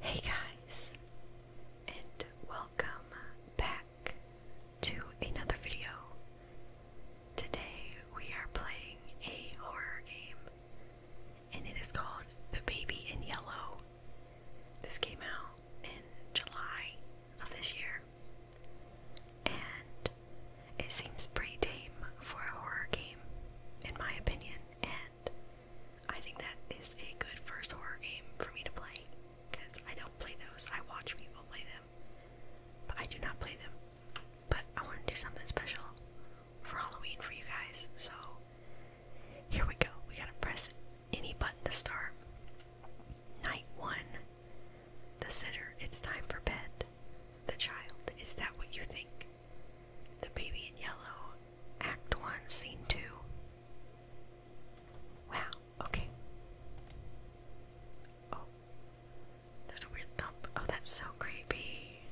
Hey guys, and welcome back to another video. Today we are playing a horror game, and it is called The Baby in Yellow. This came out in July of this year, and it seems pretty tame for a horror game, in my opinion, and I think that is a good first horror game for me to play because I don't play those. I watch people play them, but I do not play them. But I want to do something special for Halloween for you guys, so here we go. We gotta press any button to start. Night one. The sitter, it's time for bed. The child, is that what you think? The Baby in Yellow, Act 1, Scene 2. Wow, okay. Oh, there's a weird thump. Oh, that's so creepy.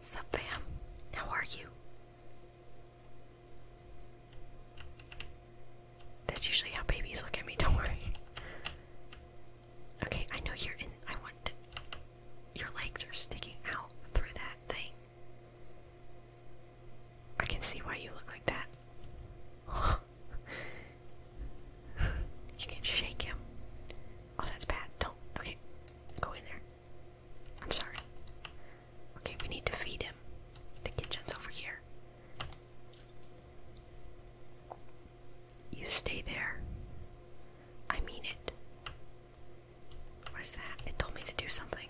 Sup, fam? How are you? That's usually how babies look at me, don't worry. Okay, I know you're in. I want Your legs are sticking out through that thing. I can see why you look like that. you can shake him. Oh, that's bad. Don't. Okay, go in there. I'm sorry. Okay, we need to feed him. The kitchen's over here. You stay there. I mean it. What is that? It told me to do something.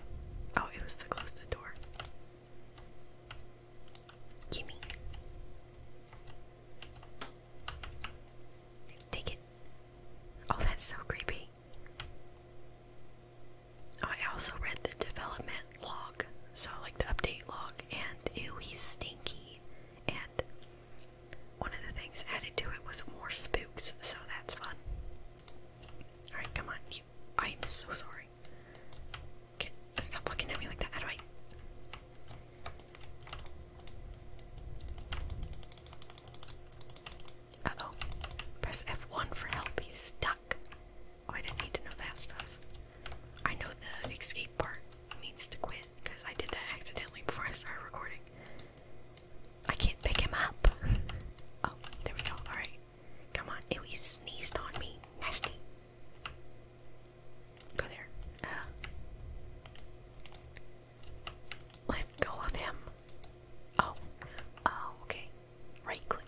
Oh, it was to close the door. Gimme. Take it. Oh, that's so creepy. Oh, I also read the development log, so like to update log, and ew, he's stinky. And one of the things added to it was more spooks, so that's fun. Alright, come on, I'm so sorry. stop looking at me like that. How do I. Uh oh. Press F1 for help. He's stuck. Oh, I didn't need to know that stuff. I know the escape part means to quit because I did that accidentally before I started recording. I can't pick him up. oh, there we go. Alright. Come on. Ew, he sneezed on me. Nasty. Go there. Uh. let go of him. Oh. Oh, okay. Right click.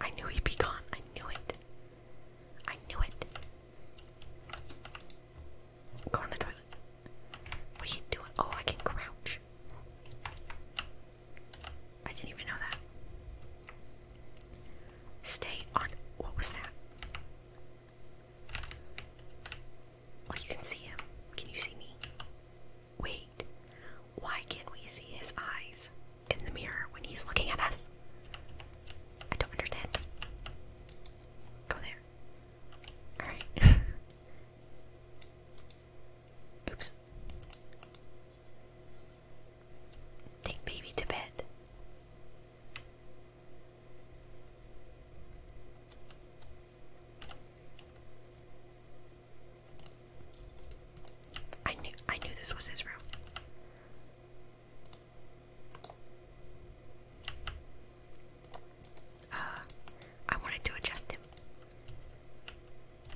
I knew he'd be gone. I knew it. I knew it. Go on the toilet. What are you doing? Oh, I can crouch. I didn't even know that. Stay on. What was that? Oh, you can see him. Can you see me? Wait, why can't we see his eyes in the mirror when he's looking at us? I don't understand. Go there. Alright. Oops. Take baby to bed. I knew I knew this was his room. Uh I wanted to adjust him.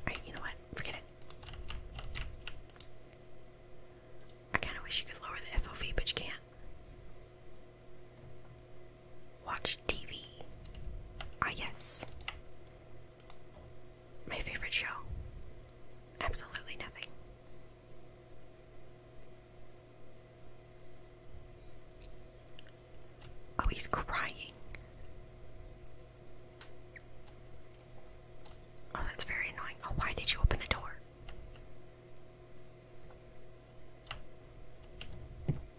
Alright, you know what? Forget it. I kinda wish you could lower the FOV, but you can't. Watch TV. Ah, yes. My favorite show. Absolutely nothing. Oh, he's crying. Oh, that's very annoying. Oh, why did you open the door?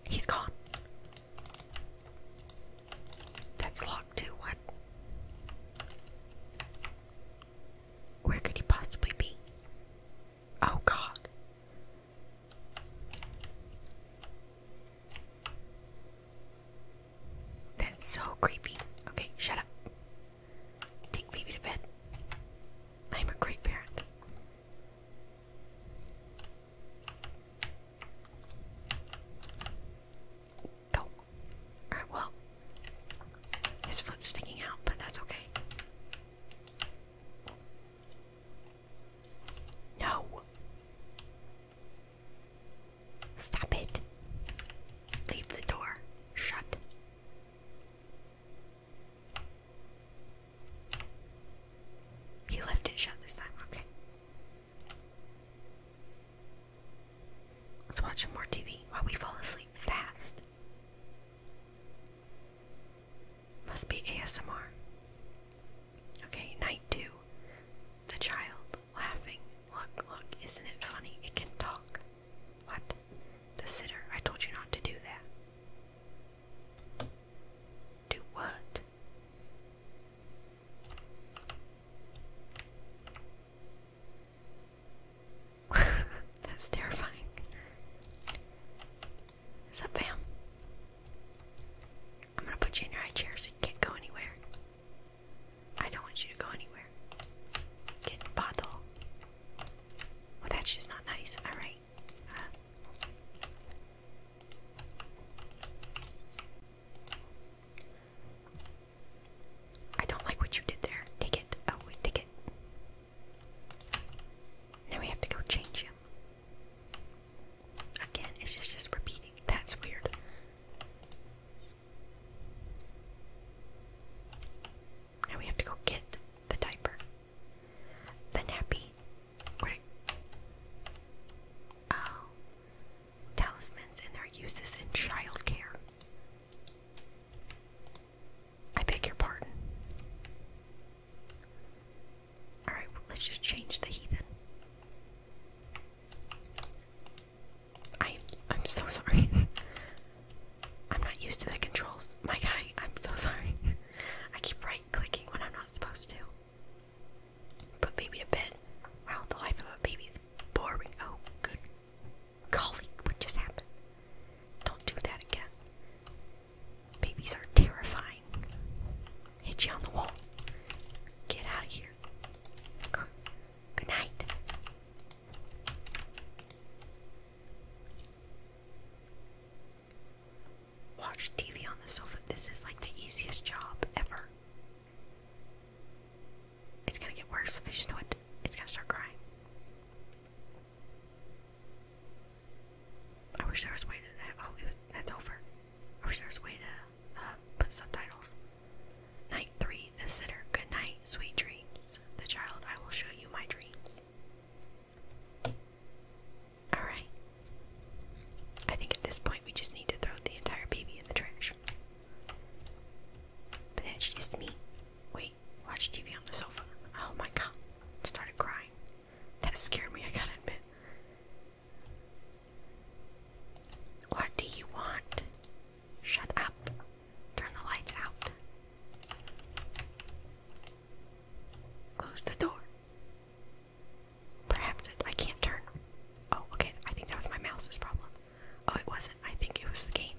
He's gone. That's locked too, what? Where could he possibly be? Oh god. That's so creepy. Okay, shut up. Take baby to bed. I'm a great parent. Go. Oh. All right. Well, his foot's sticking out, but that's okay. No. Stop it. Leave the door shut. He left it shut this time, okay. Let's watch some more TV while we fall asleep fast. Must be ASMR. Okay, night two. The child laughing. Look, look, isn't it funny? It can talk. What? The sitter. I told you not to do that. Do what? That's terrifying. What's up, fam? I'm gonna put you in your high chair so you can't go anywhere. I don't want you to go anywhere. Get bottle. Well, that's just not nice. Alright. I don't like what you did there. Take it. Oh, wait, take it. Now we have to go change him. Again, it's just just repeating. That's weird. Now we have to go get the diaper. The nappy. Oh. Talismans and their uses in child care. I beg your pardon. Alright, let's just change the heathen. I I'm so sorry. I'm not used to the controls. My guy, I'm so sorry. I keep right clicking when I'm not supposed to. Put baby to bed. Wow, the life of a baby is boring. Oh, good. Golly, what just happened? Don't do that again. Babies are terrifying. Hit you on the wall. Get out of here. Good night. Watch TV on the sofa. This is like the easiest job ever. It's gonna get worse. I just know it. It's gonna start crying. I wish there was a way to that. Uh, oh, that's over. I wish there was a way to uh, put subtitles. Night three, the sitter. Good night, sweet dreams. The child, I will show you my dreams. Alright. I think at this point we just need to throw the entire baby in the trash. But that's just me. Wait, watch TV on the sofa. Oh my god. started crying. That scared me, I gotta admit. What do you want? Shut up. Turn the lights out. Close the door. Perhaps I can't turn. Oh, okay. I think that was my mouse's problem. Oh, it wasn't. I think it was the game.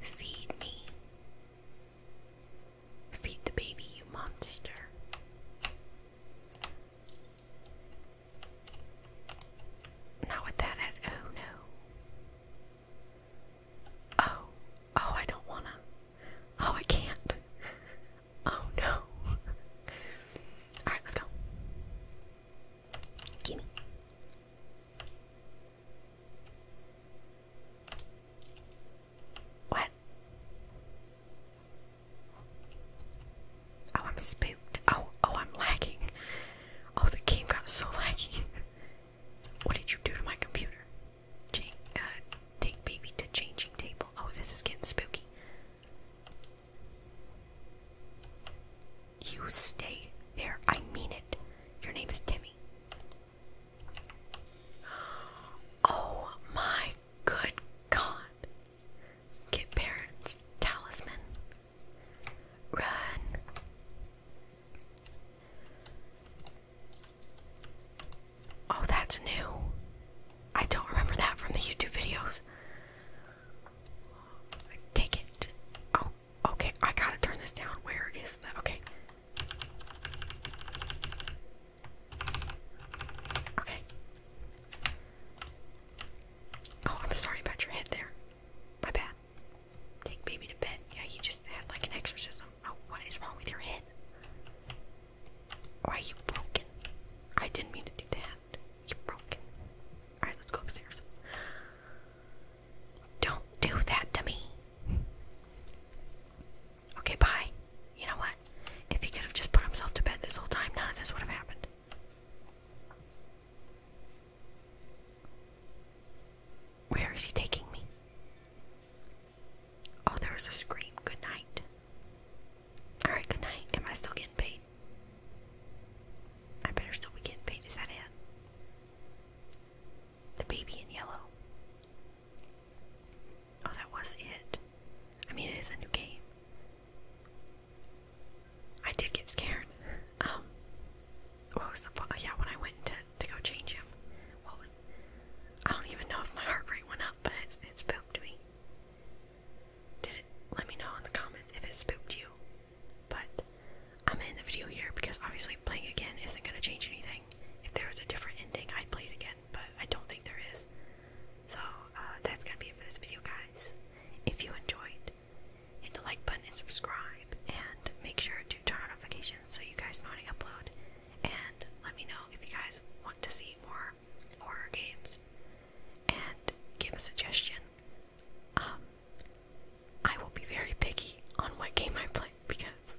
Feed me. Feed the baby, you monster. Not with that Oh no. Oh, oh, I don't wanna. Oh, I can't. Oh no. Alright, let's go. Gimme. What? Oh, I'm spooked. Oh, oh, I'm lagging. Oh, the game got so laggy. What did you do to my computer? Uh, take baby to changing table. Oh, this is getting spooky. You stay there. I mean it. Your name is Timmy. Oh my good god. Get parents talisman. Run. Oh, that's new. I don't remember that from the YouTube videos. Take it. Oh, okay. I gotta turn this down. Where is that? Okay. Okay. Oh, I'm sorry about your head there. My bad. Take baby to bed. Yeah, you just had like an exorcism. Oh, what is wrong with your head? Or are you broken? I didn't mean to do that. You're broken. Alright, let's go upstairs. Don't do that to me. Okay, bye. You know what? If he could have just put himself to bed this whole time, none of this would have happened. Where is he taking me? Oh, there was a scream. Good night. Alright, good night. Am I still getting paid? I better still be getting paid. Is that it? The baby in yellow. Oh, that was it. I mean, it is a new game. I did get scared. Um, what was the Yeah, when I went to to go change him, I don't even know if my heart rate went up, but it, it spooked me. Did it? Let me know in the comments if it spooked you. But I'm in the video here because obviously playing again isn't going to change anything. If there was a different ending, I'd play it again, but I don't think there is. So uh, that's going to be it for this video, guys. If you enjoyed, Hit the like button and subscribe, and make sure to turn on notifications so you guys know when I upload. And let me know if you guys want to see more horror games, and give a suggestion. Um, I will be very picky on what game I play because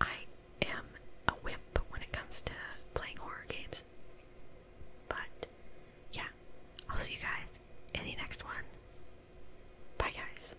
I am a wimp when it comes to playing horror games. But yeah, I'll see you guys in the next one. Bye, guys.